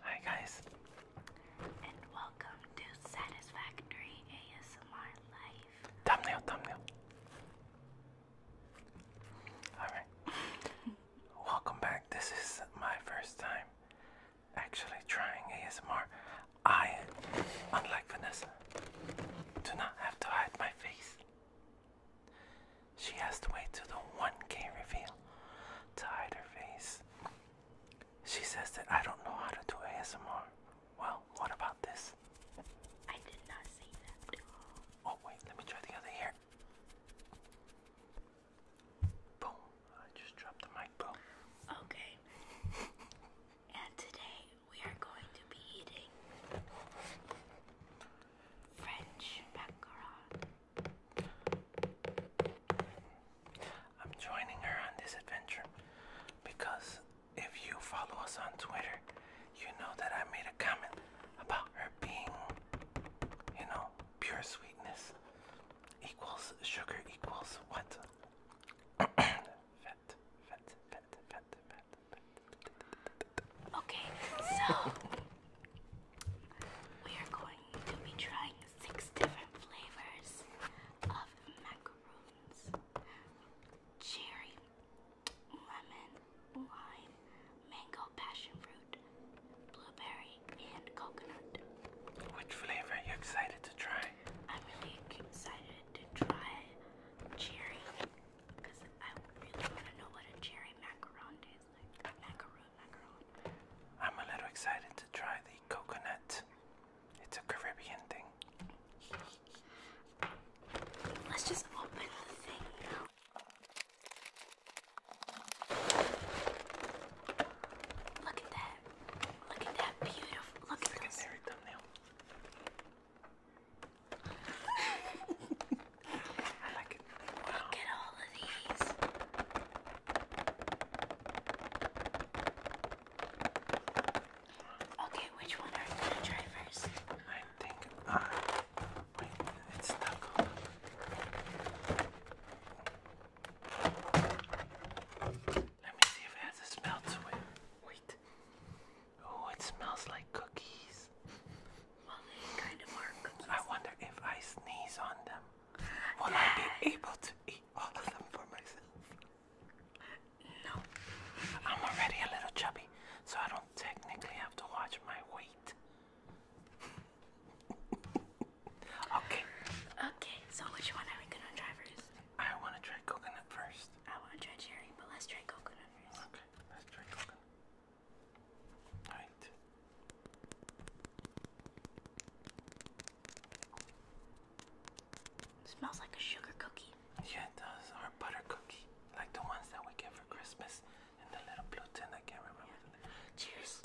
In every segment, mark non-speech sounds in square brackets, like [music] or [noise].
Hi guys. And welcome to Satisfactory ASMR Life. Thumbnail, thumbnail. Alright. [laughs] welcome back. This is my first time actually trying ASMR. I, unlike Vanessa, do not have to hide my face. She has to wait till the 1K reveal to hide her face. She says that I don't know how to do ASMR. Well, what about this? I did not say that. Oh, wait, let me try the other ear. Boom. I just dropped the mic, bro. Okay. and today we are going to be eating French macaron. I'm joining her on this adventure because if you follow us on Twitter, you know that I made a comment about her being, you know, pure sweetness equals sugar equals what? [coughs] fat, fat, fat, fat, fat. Okay, so we are going to be trying six different flavors of macaroons cherry, lemon, lime, mango, passion fruit, blueberry, and coconut. Which flavor are you excited to try? I'm really excited to try cherry I am a little excited to try the coconut. It's a Caribbean thing. Let's just open the thing now. Look at that. Look at that beautiful. Look at that. Secondary thumbnail. I like it. Wow. Look at all of these. Okay, which one are you gonna try first? I think I. Uh, wait, it's stuck on. Let me see if it has a smell to it. Wait. Oh, it smells like cookies. I wonder if I sneeze on them, will I be able to eat all of them for myself? No. I'm already a little chubby, so I don't technically have to watch my weight. [laughs] okay. Okay, so which one are we gonna try first? I wanna try coconut first. I wanna try cherry, but let's try coconut first. Okay, let's try coconut. Smells like a sugar cookie. Yeah, it does. Or butter cookie, like the ones that we get for Christmas, and the little blue tin. I can't remember Cheers.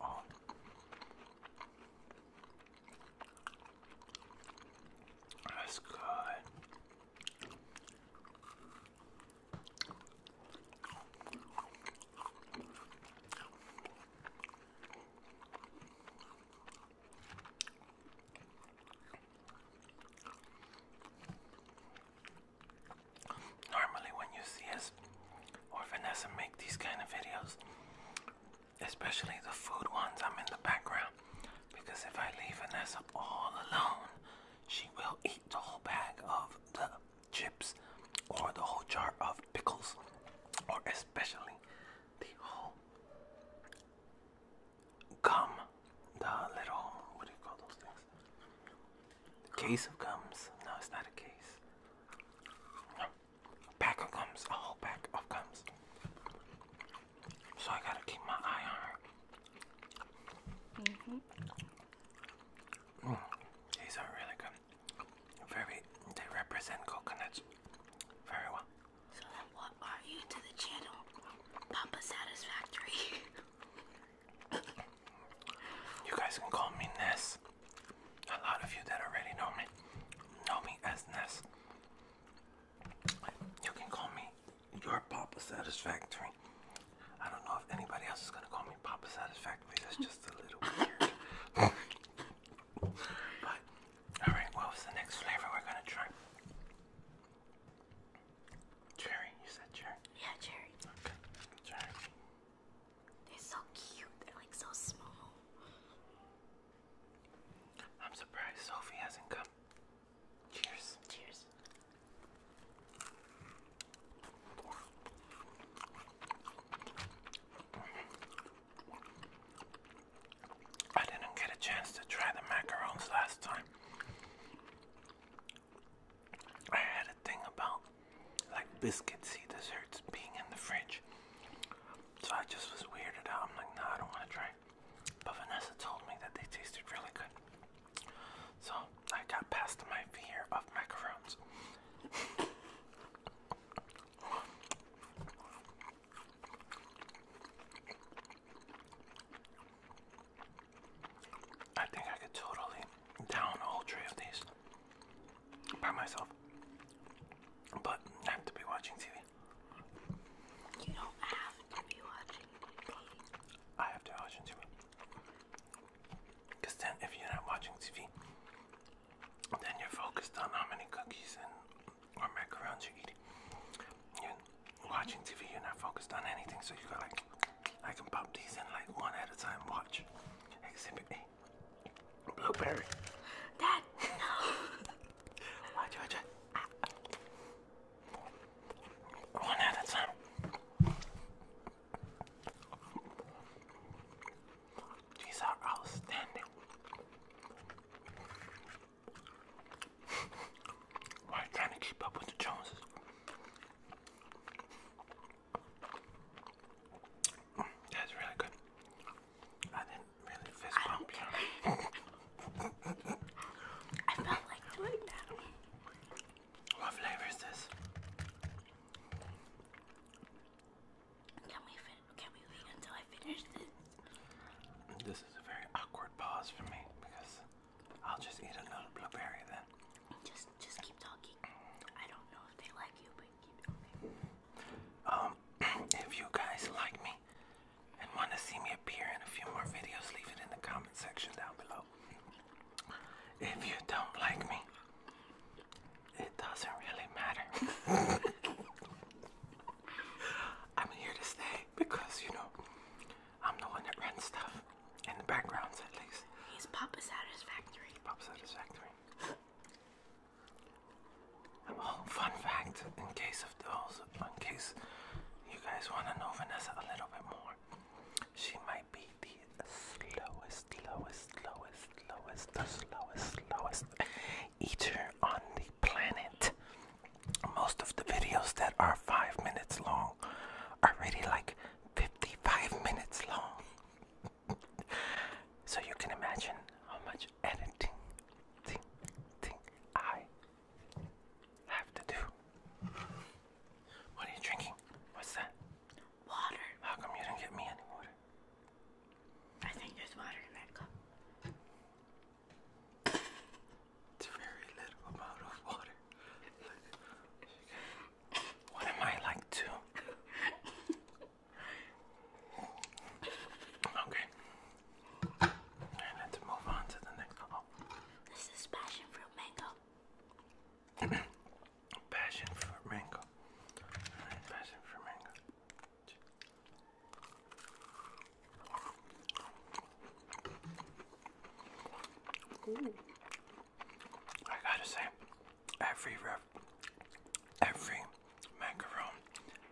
Oh. That's good. Normally when you see us or Vanessa make these kind of videos, especially the food ones I'm in the background because if I leave Vanessa all alone, she will eat the whole bag of the chips or the whole jar of pickles or especially the whole gum, the little, what do you call those things? The case of gums. No, it's not a case pack of gums, a whole pack of gums. So I gotta keep my eye on her. Mm-hmm. Mm -hmm. these are really good. Very, they represent coconuts very well. So what are you to the channel? Papa Satisfactory. [laughs] you guys can call me Ness a lot of you that already know me know me as Ness. You can call me your Papa Satisfactory. I don't know if anybody else is gonna call me Papa Satisfactory. That's just a little weird. [laughs] but all right, what was the next flavor we're gonna try? Cherry. You said cherry. Yeah, cherry. Okay, cherry. They're so cute. They're like so small. I'm surprised Sophie hasn't come. Cheers. Cheers. I didn't get a chance to try the macarons last time. I had a thing about like biscuitsy desserts being in the fridge. So I just was weirded out. I'm like, no, I don't want to try. But Vanessa told me that they tasted really good. So I got past my fear of microphones. I think I could totally down a whole of these by myself. But I have to be watching TV. You don't have to be watching TV. I have to watch TV. Because then, if you're not watching TV, then you're focused on how many cookies and or macarons you're eating. You're watching TV, you're not focused on anything, so you go like, I can pop these in like one at a time. Watch Exhibit A, Blueberry. Dad, no. One at a time. These are outstanding. Why trying to keep up with the Joneses? That's really good. I didn't really fist I bump you. [laughs] I felt like doing that. What flavor is this? Can we fin can we wait until I finish this? This is a very awkward pause for me because I'll just eat another blueberry then. Just just keep talking. I don't know if they like you, but um, [clears throat] if you guys like me and want to see me appear in a few more videos, leave it in the comment section down below. If you don't like me, it doesn't really matter. [laughs] I'm here to stay because, you know, I'm the one that runs stuff. In the backgrounds, at least. He's Papa Satisfactory. Papa Satisfactory. Um, oh, fun fact! In case of those, in case you guys want to know Vanessa a little bit more, she might be the slowest, slowest, slowest, slowest, the slowest, slowest eater on the planet. Most of the videos that are five minutes long are really like 55 minutes long so you can imagine how much editing thing, thing I have to do. What are you drinking? What's that? Water. How come you didn't get me any water? I think there's water in that cup. It's very little amount of water. what am I like to? Okay. And let's move on to the next one. Oh. This is passion fruit mango. [clears throat] passion fruit mango. passion fruit mango. Ooh. I gotta say, every every macaron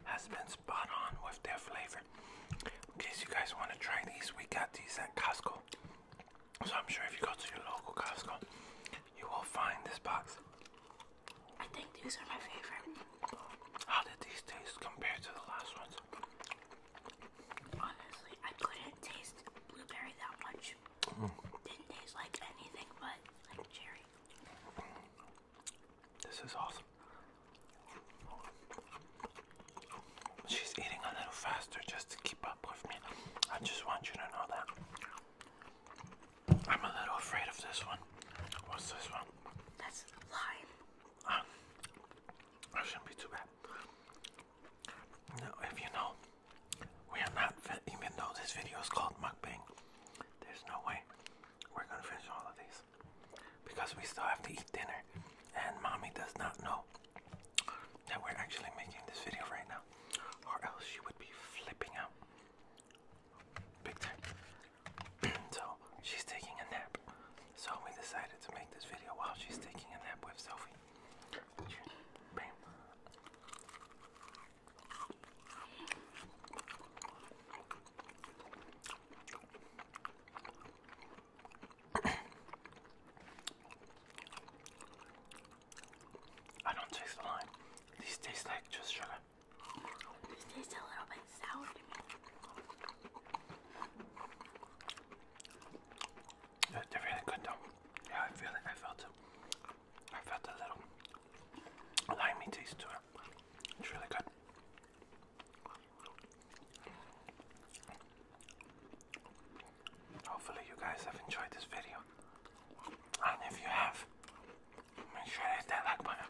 has been spot on with their flavor. In case you guys want to try these, we got these at Costco. So I'm sure if you go to your local Costco, you will find this box. I think these are my favorite. How did these taste compared to the last ones? Honestly, I couldn't taste blueberry that much. Mm. Didn't taste like anything but like cherry. This is awesome. She's eating a little faster just to keep up with me. I just want you to know that. I'm a little afraid of this one. What's this one? That's lime. Um, shouldn't be too bad. Now, if you know, we are not, even though this video is called mukbang, there's no way we're gonna finish all of these because we still have to eat dinner, and mommy does not know that we're actually making this video right now, or else she would be flipping out big time. [clears throat] so she's taking a nap, so we decided to make this video while she's taking a nap with Sophie. Bam. [coughs] I don't taste the lime. These taste like just sugar. These taste a little bit sour They're really good though. Yeah, I feel I felt it. I felt a little limey taste to it. It's really good. Hopefully you guys have enjoyed this video. And if you have, make sure to hit that like button.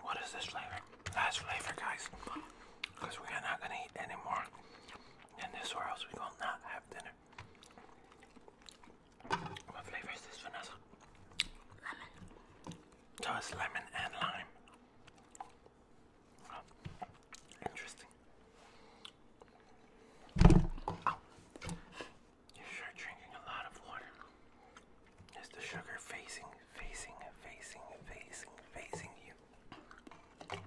What is this flavor? Last flavor guys. Because we are not gonna eat anymore than this or else we will not have dinner. What flavor is this, Vanessa? Lemon. So it's lemon and lime. interesting. Oh. you're sure drinking a lot of water. Is the sugar facing, facing, facing, facing, facing you?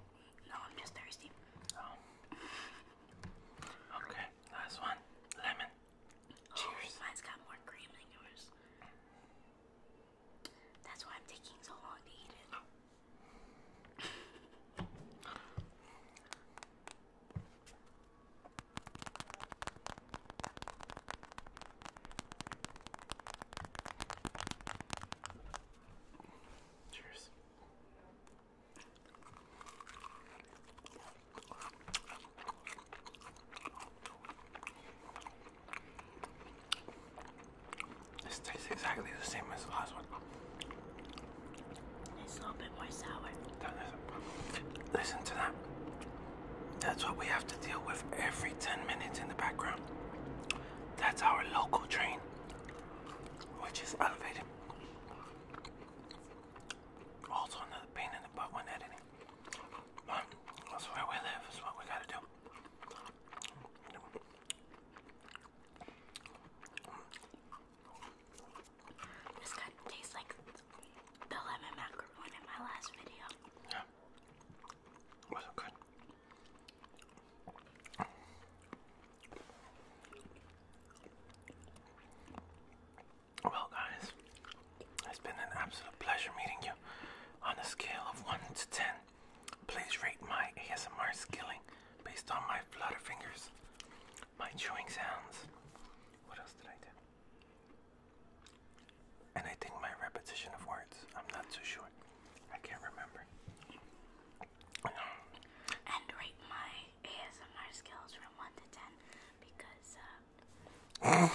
No, I'm just thirsty. Oh. Okay, last one. Lemon. Oh, Cheers. mine's got more cream than yours. That's why I'm taking so long to eat it. Cheers. This tastes exactly the same as the last one. It's a little bit more sour. Listen to that. That's what we have to deal with every 10 minutes in the background. That's our local train, which is elevated. Also another pain in the butt when editing. that's where we live, that's what we gotta do. This kind of tastes like the lemon macaroni in my last video. Yeah. Was good? Well, guys, it's been an absolute pleasure meeting you. On a scale of 1 to 10, please rate my ASMR skilling based on my flutter fingers, my chewing sounds. What else did I do? And I think my repetition of words. I'm not too sure. I can't remember and rate my ASMR skills from 1 to 10 because uh,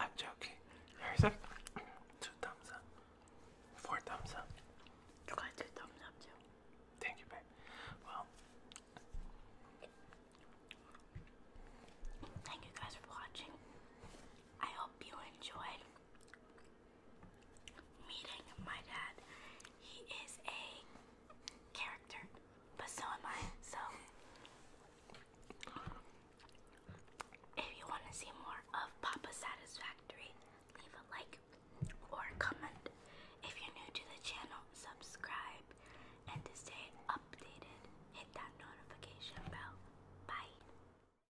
I'm joking. Here's a two thumbs up, four thumbs up. You got two thumbs up too. Thank you, babe. Well, thank you guys for watching. I hope you enjoyed meeting my dad. He is a character, but so am I. So, if you want to see more of Papa Satisfactory, leave a like or a comment. If you're new to the channel, subscribe. And to stay updated, hit that notification bell. Bye.